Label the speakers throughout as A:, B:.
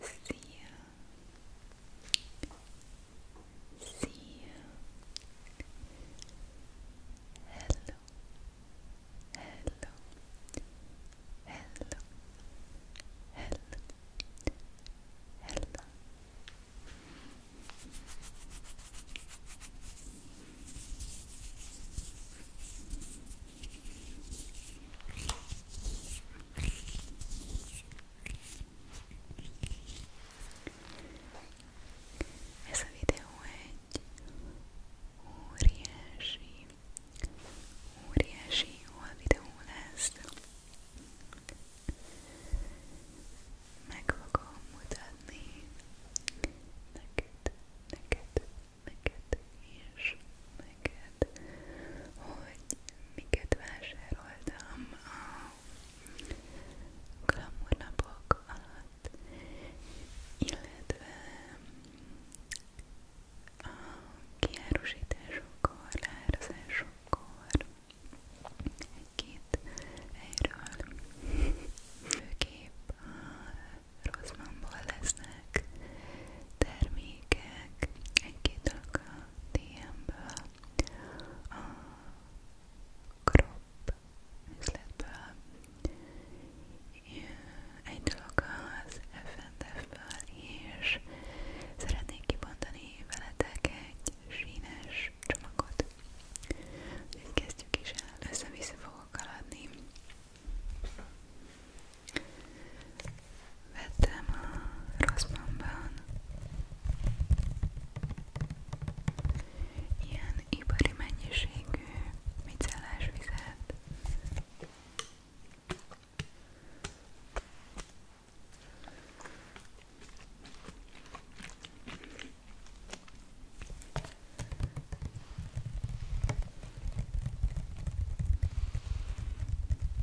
A: See you. See you. Hello. Hello. Hello. Hello. Hello. Hello. Ez a videó egy óriási, óriási hol videó lesz. Meg fogom mutatni neked, neked, neked, és neked, hogy miket vásároltam a glamournapok illetve a kiárusításokkor, leárazásokkor egy-két helyről főképp a filmek, termékek, egy-két dolog a DM-ből, a Crop üzletből, egy dolog az FNF-ből, és szeretnék kibontani veletek egy sínes csomagot. Úgyhogy kezdjük is el, össze-vissza fogok haladni. Vettem a Rossmannban ilyen ipari mennyiségű micellás vizet.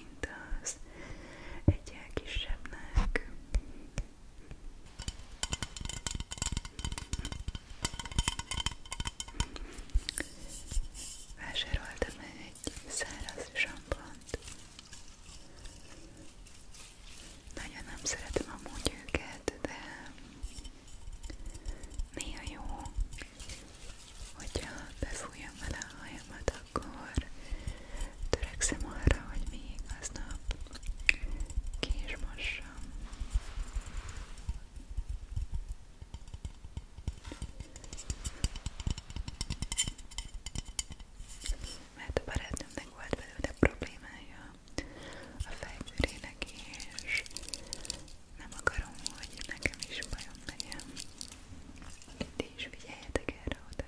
A: mint az egyel kisebbnek. Vásároltam egy száraz sampont. Nagyon nem szeretem amúgy őket, de néha jó, hogyha befújjam vele a hajamat, akkor törekszem arra, hogy még aznap ki is mossam. Mert a barátnőmnek volt belőle problémája a fejbőrének és nem akarom, hogy nekem is bajom legyen. Ti is figyeljetek erre oda.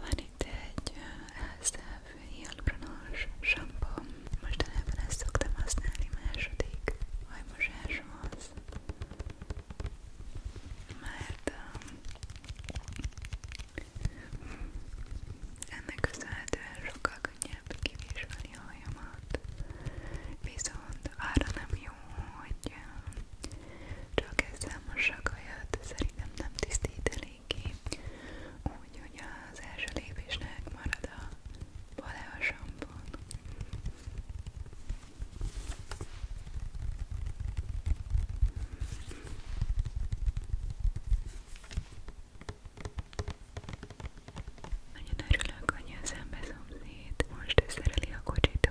A: Van itt egy Elszebb hialurons sampó. Mostanában ezt szoktam használni második hajmosáshoz, mert um, ennek köszönhetően sokkal könnyebb kivizsgálni a hajamat, viszont arra nem jó, jó, hogy csak ezzel mossak hajat, szerintem nem tisztít eléggé, úgyhogy az első lépésnek marad a paleo sampon. Nagyon örülök, hogy a szembe szomszéd most összereli a kocsit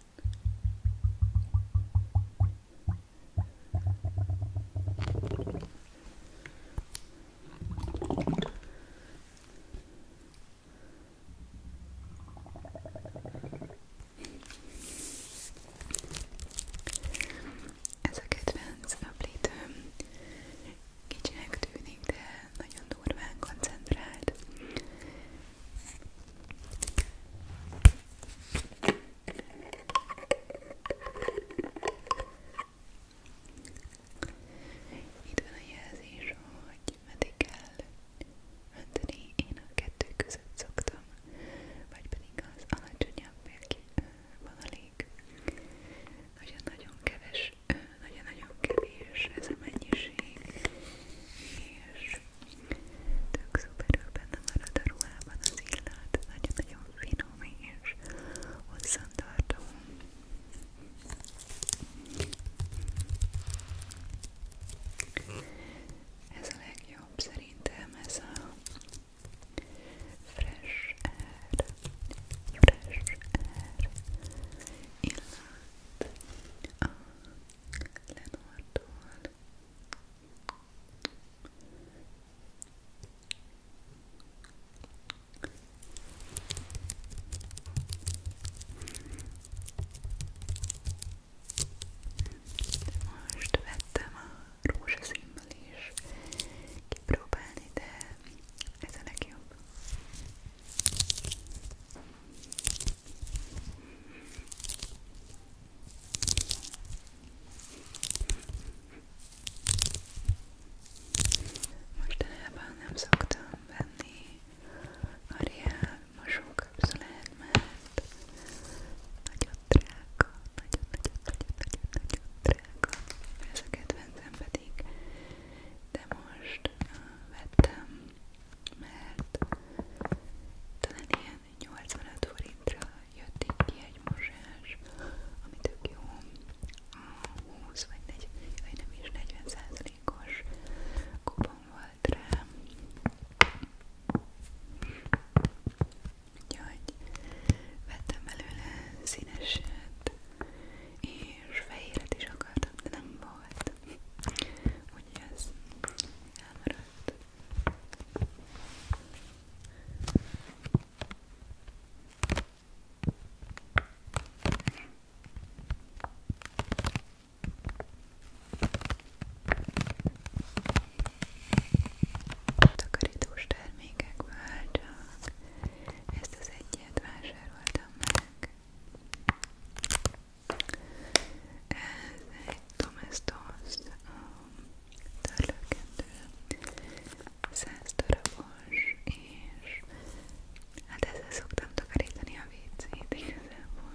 A: Ez a kedvenc naplítőm kicsinek tűnik, de nagyon durván koncentrált itt van a jelzés, hogy meddig kell önteni, én a kettő között szoktam, vagy pedig az alacsonyabb vonalék. Nagyon-nagyon keves, nagyon-nagyon kevés ez a mennyiség, és Tök szuperül benne marad a ruhában az illat, nagyon-nagyon finom és hosszantartó. Ez a legjobb szerintem, ez a fresh air, fresh air illat a Lenortól most vettem a rózsaszínnal is kipróbálni, de ez a legjobb. Mostanában nem szoktam venni a reál mosókapszulát, mert nagyon drága, nagyon-nagyon-nagyon-nagyon drága. Ez a kedvencem pedig, de most vettem, mert talán ilyen 85 forintra jött itt ki egy mosás, ami tök jó, a 20 vagy 40, vagy nem is 40%-os kupon volt rá. Úgyhogy vettem belőle színeset, és fehéret is akartam, de nem volt. Úgyhogy ez elmaradt. Takarítós termékekből csak ezt az egyet vásároltam meg. Ez egy Domestos um, törlőkendő, 100 darabos, és hát ezzel szoktam takarítani a vécét igazából.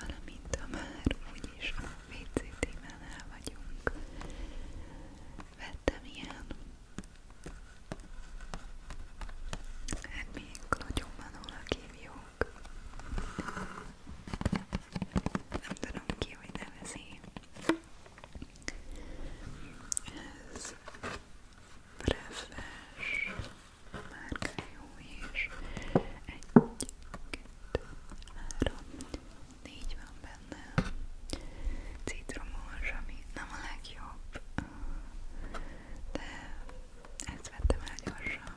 A: valamint ha már úgyis a WC témánál vagyunk, vettem ilyen, hát még klotyommanónak hívjuk, nem tudom ki, hogy nevezi, ez Brefes márkájú és egy három, négy van benne citromos, ami nem a legjobb de ezt vettem el gyorsan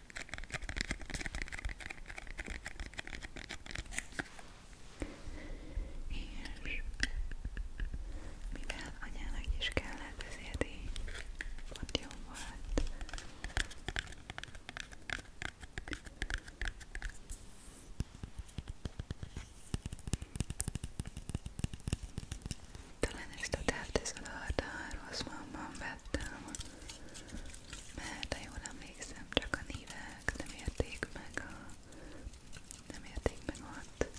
A: És mivel anyának is kellett, ezért így ott jó volt. Talán ezt a távteszod a harta, rossz mamban láttam, mert ha jól emlékszem, csak a nívek nem érték meg a... nem érték meg ott.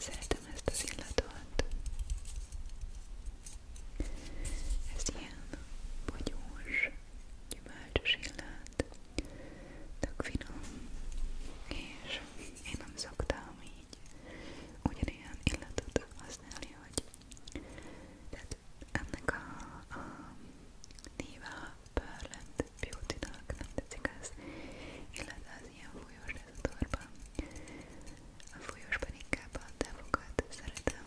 A: Szeretem ezt az illatot. Ez ilyen bogyós, gyümölcsös illat, tök finom, és én nem szoktam így így ugyanilyen illatot használni, hogy tehát ennek a, a Niva Perland Beauty-nak nem tetszik az illat, az ilyen fújós lesz a torban a fújósban inkább a távokat szeretem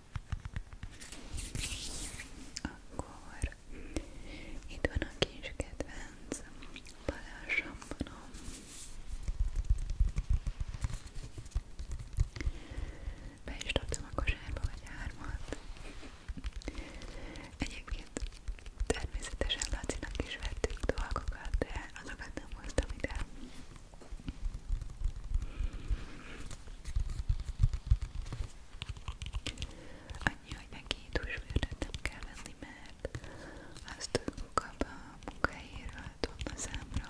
A: Akkor itt van a kis kedvenc palássamponom. Be is dobtam a kosárba, vagy hármat. Egyébként természetesen Lacinak is vettük dolgokat, de azokat nem hoztam ide. Annyi, hogy neki húsvérdet nem kell venni, mert azt kap a munkahelyéről tonna számra.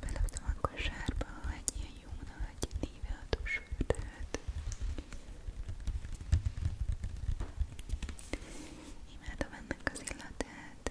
A: Belaktam a kosárba egy ilyen jó nagy néve a húsvérdet. Imádom ennek az illatát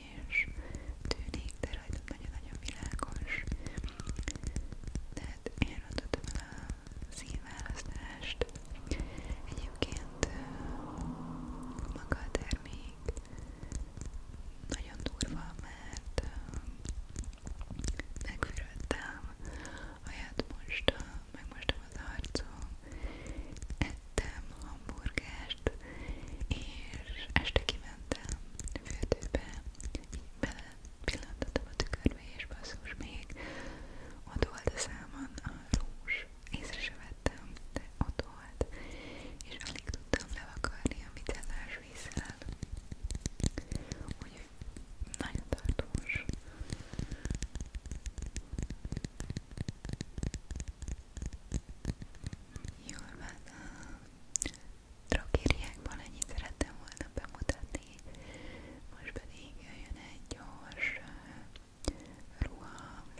A: fényes tűnik, de rajtam nagyon-nagyon világos. Tehát én adottam el a színválasztást. Egyébként maga a termék nagyon durva, mert megfürödtem, aját mostam, megmostam az arcom, ettem hamburgert, fest, és este kimentem fürdőbe, így bele pillantottam a tükörbe, és basszus még ott volt a számon a rúzs, észre se vettem, de ott volt, és alig tudtam levakarni a mitellás vízzel, úgyhogy nagyon tartós. Jól van, drogériákban ennyit szerettem volna bemutatni, most pedig jöjjön egy gyors ruha,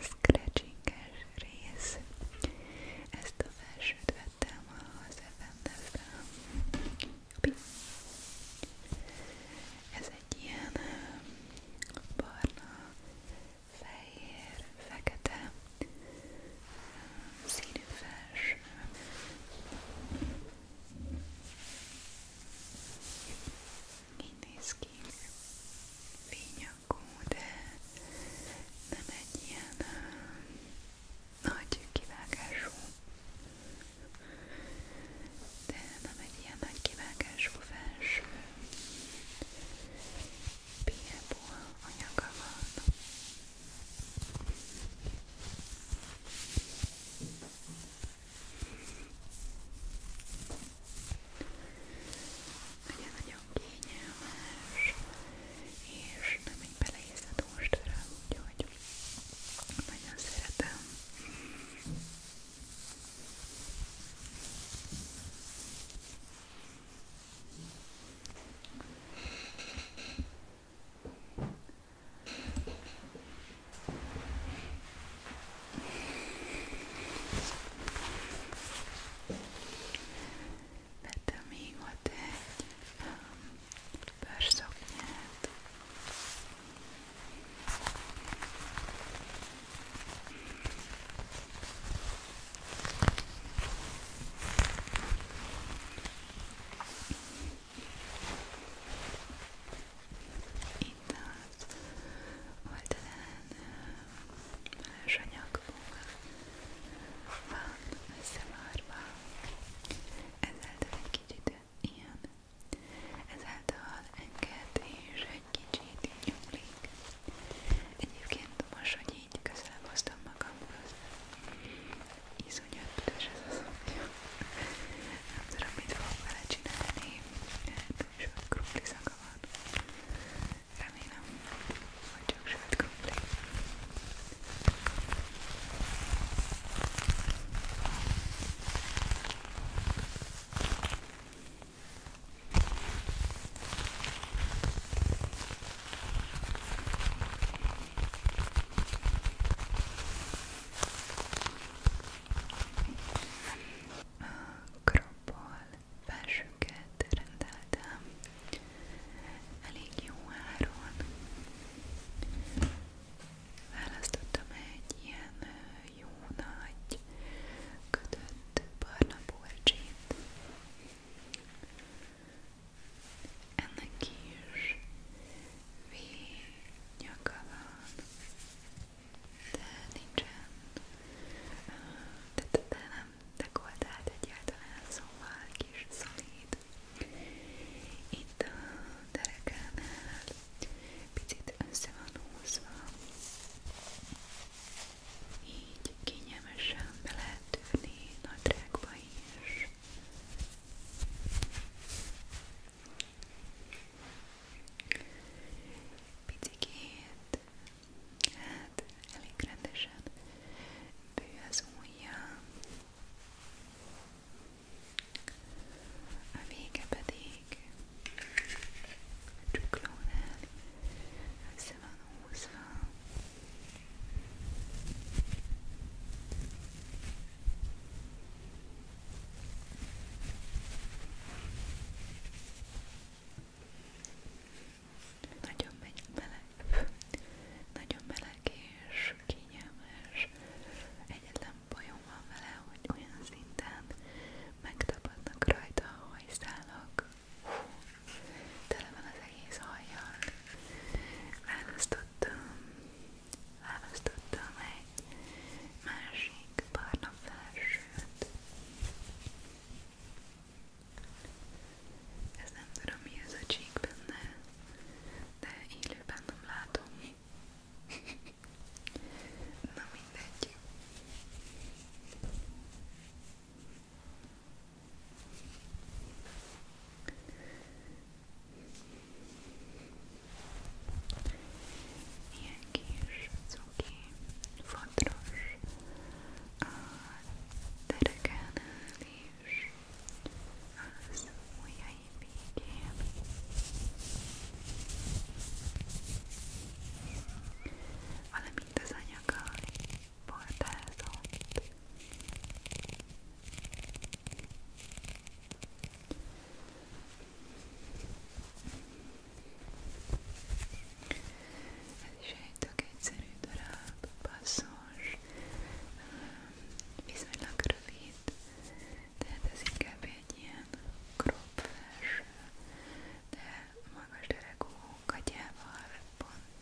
A: scratchinges rész. Ezt a felsőt vettem az FMS-ben. Ez egy ilyen barna, fehér, fekete színű felső. Így néz ki. Fényakú, de nem egy ilyen nagy kivágású. De nem egy ilyen nagy kivágású felső. Piebo anyaga van. Ugye nagyon kényelmes, és nem egy beleérzed mostra, úgyhogy nagyon szeretem. Nagyon Vettem még ott egy um, bőrszoknyát. Itt az oldalán más anyagból van ezáltal egy kicsit ilyen, ezáltal enged és egy kicsit nyúlik. Egyébként most, így közelebb hoztam magamhoz. Iszonyat büdös ez az apja. Nem tudom, mit fogok vele csinálni. Túl sok krumpli szaga van. Remélem, hogy csak sült krumpli. Jó, Krabból felsőket rendeltem, elég jó áron. Választottam egy ilyen jó nagy kötött barna polcsit ennek kis V-nyaka van, de nincsen, de, de, de nem dekoltált egyáltalán, szóval kis szolid. Itt a derekánál picit össze van húzva, így kényelmesen be lehet tűrni nadrágba is. Picikét, hát elég rendesen bő az ujja. A vége pedig a csuklónál össze van húzva. Nagyon meleg, nagyon meleg és kényelmes. Egyetlen bajom van vele, hogy olyan szinten megtapadnak rajta a hajszálak. Hú, tele van az egész hajjal. Választottam, választottam egy másik barna felsőt. Ez nem tudom mi ez a csík benne, de élőben nem látom. Na mindegy. Ilyen kis, cuki, fodros a tereken és az ujjai végén valamint az anyaga bordázott. Ez is egy tök egyszerű darab,
B: passzos, viszonylag rövid, tehát ez inkább egy ilyen crop felső, de magas derekú katyával pont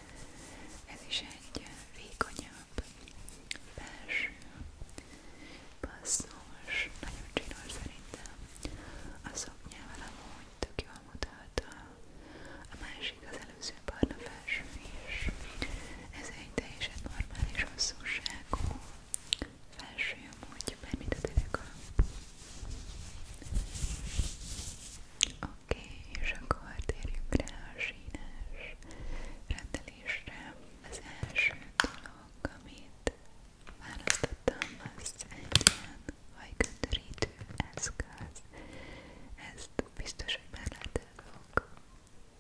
A: Ez is egy vékonyabb, belső, passzós, nagyon csinos szerintem. A szoknyával amúgy tök jól mutat a másik, az előző barna felső is. Ez egy teljesen normális hosszúságú felső amúgy, bármit a dereka. A Oké, okay, és akkor térjünk rá a sínes rendelésre. Az első dolog, amit választottam, az egy ilyen hajköntörítő eszköz. Ezt biztos, hogy már láttátok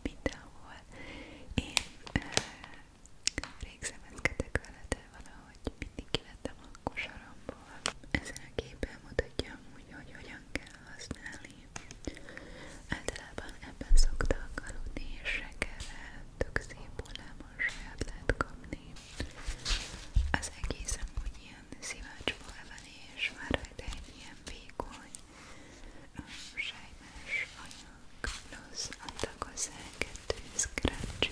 A: mindenhol. Én eh, rég szemezkedek vele, de valahogy mindig kivettem a kosaromból. Ezen a képen mutatja úgy, hogy hogyan kell használni. Általában ebben szoktak aludni, és reggelre tök szép hullámon saját lehet kapni. Az egész amúgy ilyen szivácsból van, és már rajta egy ilyen vékony, sejmes anyag, plusz adtak hozzá kettő scratch-t.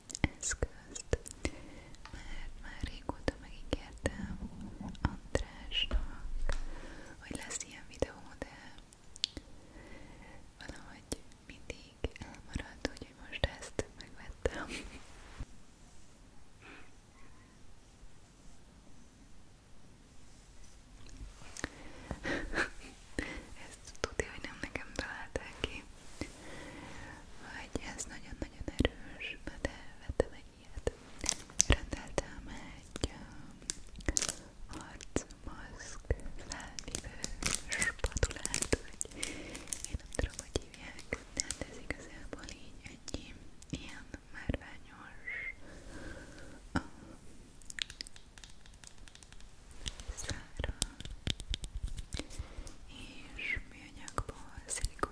A: eszközt, mert már régóta megígértem Andrásnak, hogy lesz ilyen videó, de valahogy mindig elmaradt, hogy most ezt megvettem. Ezt tudja, hogy nem nekem találták ki hogy ez nagyon-nagyon erős, de vettem egy ilyet. Rendeltem egy um, arcmaszk felvívő spatulát, vagy én nem tudom, hogy hívják, de hát ez igazából így egy ilyen márványos a um, szára és műanyagból, szilikon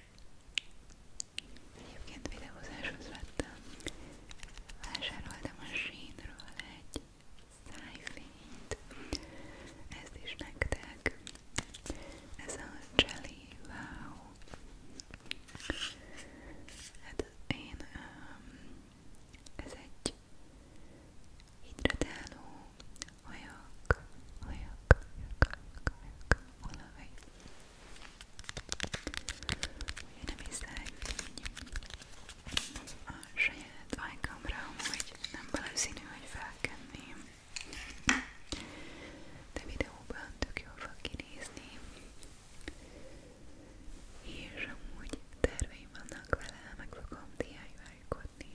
A: Egyébként videózáshoz vettem. Vásároltam a Shane-ről egy szájfényt. Ezt is nektek. Ez a Jelly Wow. Hát én um, ez egy hidratáló ajak, ajak, ajak, ajak, ajak, olaj. Ugye nem hiszek a saját ajkamra, hogy nem valószínű, hogy felkenném. De videóban tök jól fog kinézni.
B: És amúgy terveim vannak vele, meg fogom DIY-kodni.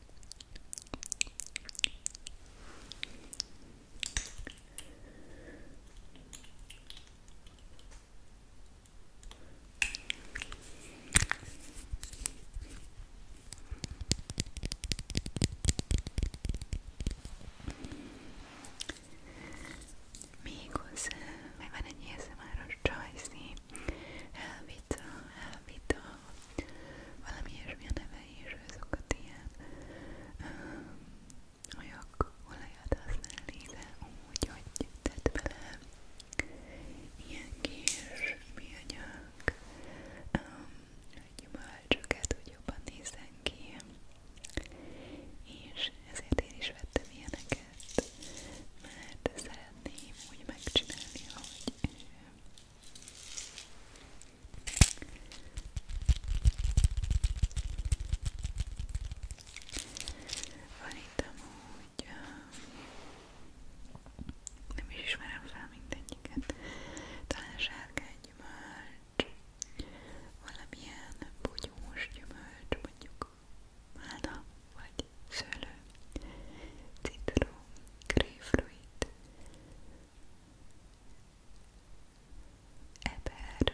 B: Még hozzá, meg van egy érzem áros csajszín, elvita, elvita, valami ilyesmi a neve is, azokat ilyen olyag olajat használni, de úgy, hogy tett bele ilyen kis műanyag gyümölcsöket, hogy jobban nézzen ki és ezért én is vettem ilyeneket, mert szeretném úgy megcsinálni, hogy van itt amúgy, nem is ismerem fel mindegyiket, talán sárkány gyümölcs, valamilyen bugyós gyümölcs, mondjuk málna vagy szőlő, citrom, grapefruit, eper,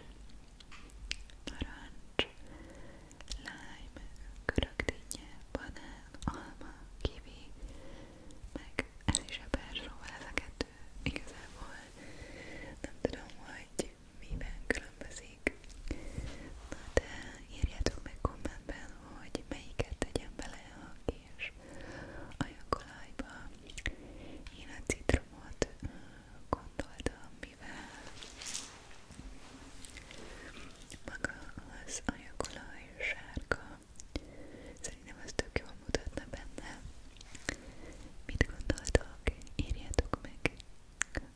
B: narancs, lime, görögdinnye, banán, alma, kivi, meg ez is eper, szóval ez a kettő igazából nem tudom, hogy miben különbözik. Na de írjátok meg kommentben, hogy melyiket tegyen bele, aki és ajakolajba. Én a citromot gondoltam, mivel maga az ajakolaj sárga, szerintem az tök jól mutatna benne. Mit gondoltok? Írjátok meg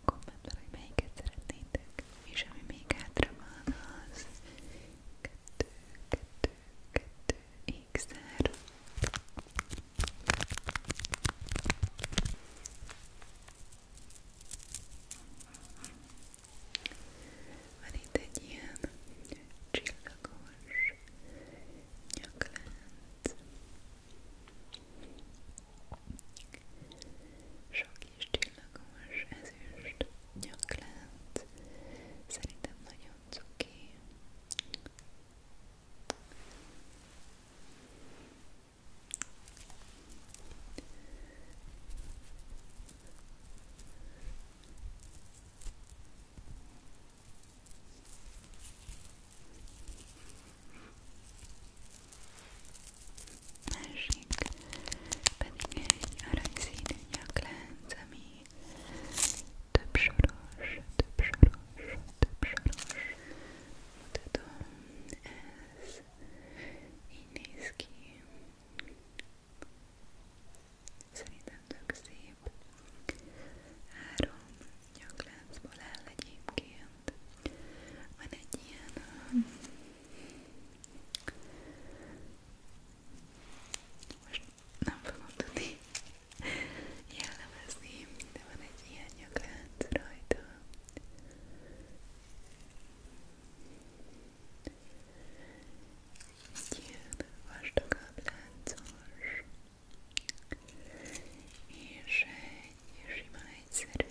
B: kommentben, hogy melyiket szeretnétek. És ami még hátra van, az kettő, kettő, 2x-er Van itt egy ilyen csillagos nyaklánc Sok is csillagos ezüst nyaklánc Szerintem nagyon cuki.
A: Másik pedig egy aranyszínű nyaklánc, ami több soros, több soros, több soros. Mutatom, ez így néz ki. Szerintem tök szép. Három nyakláncból áll egyébként. Van egy ilyen most nem fogom tudni jellemezni, de van egy ilyen nyaklánc rajta. Egy ilyen vastagabb láncos, és egy sima egyszerű,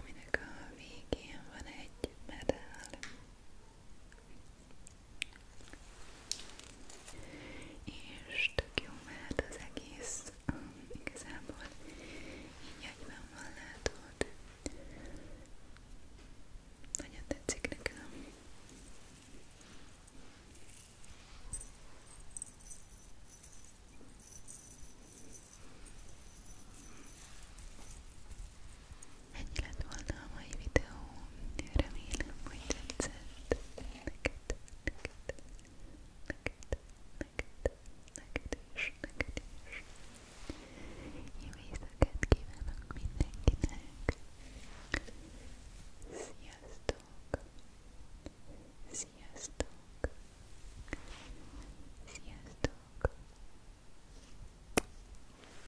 A: aminek a végén van egy medál és tök jó mehet az egész, um, igazából így egyben van látod nagyon tetszik nekem Ennyi lett volna a mai videó. Remélem, hogy tetszett. Neked, neked, neked, neked, neked is, neked is. Jó éjszakát kívánok mindenkinek. Sziasztok! Sziasztok! Sziasztok!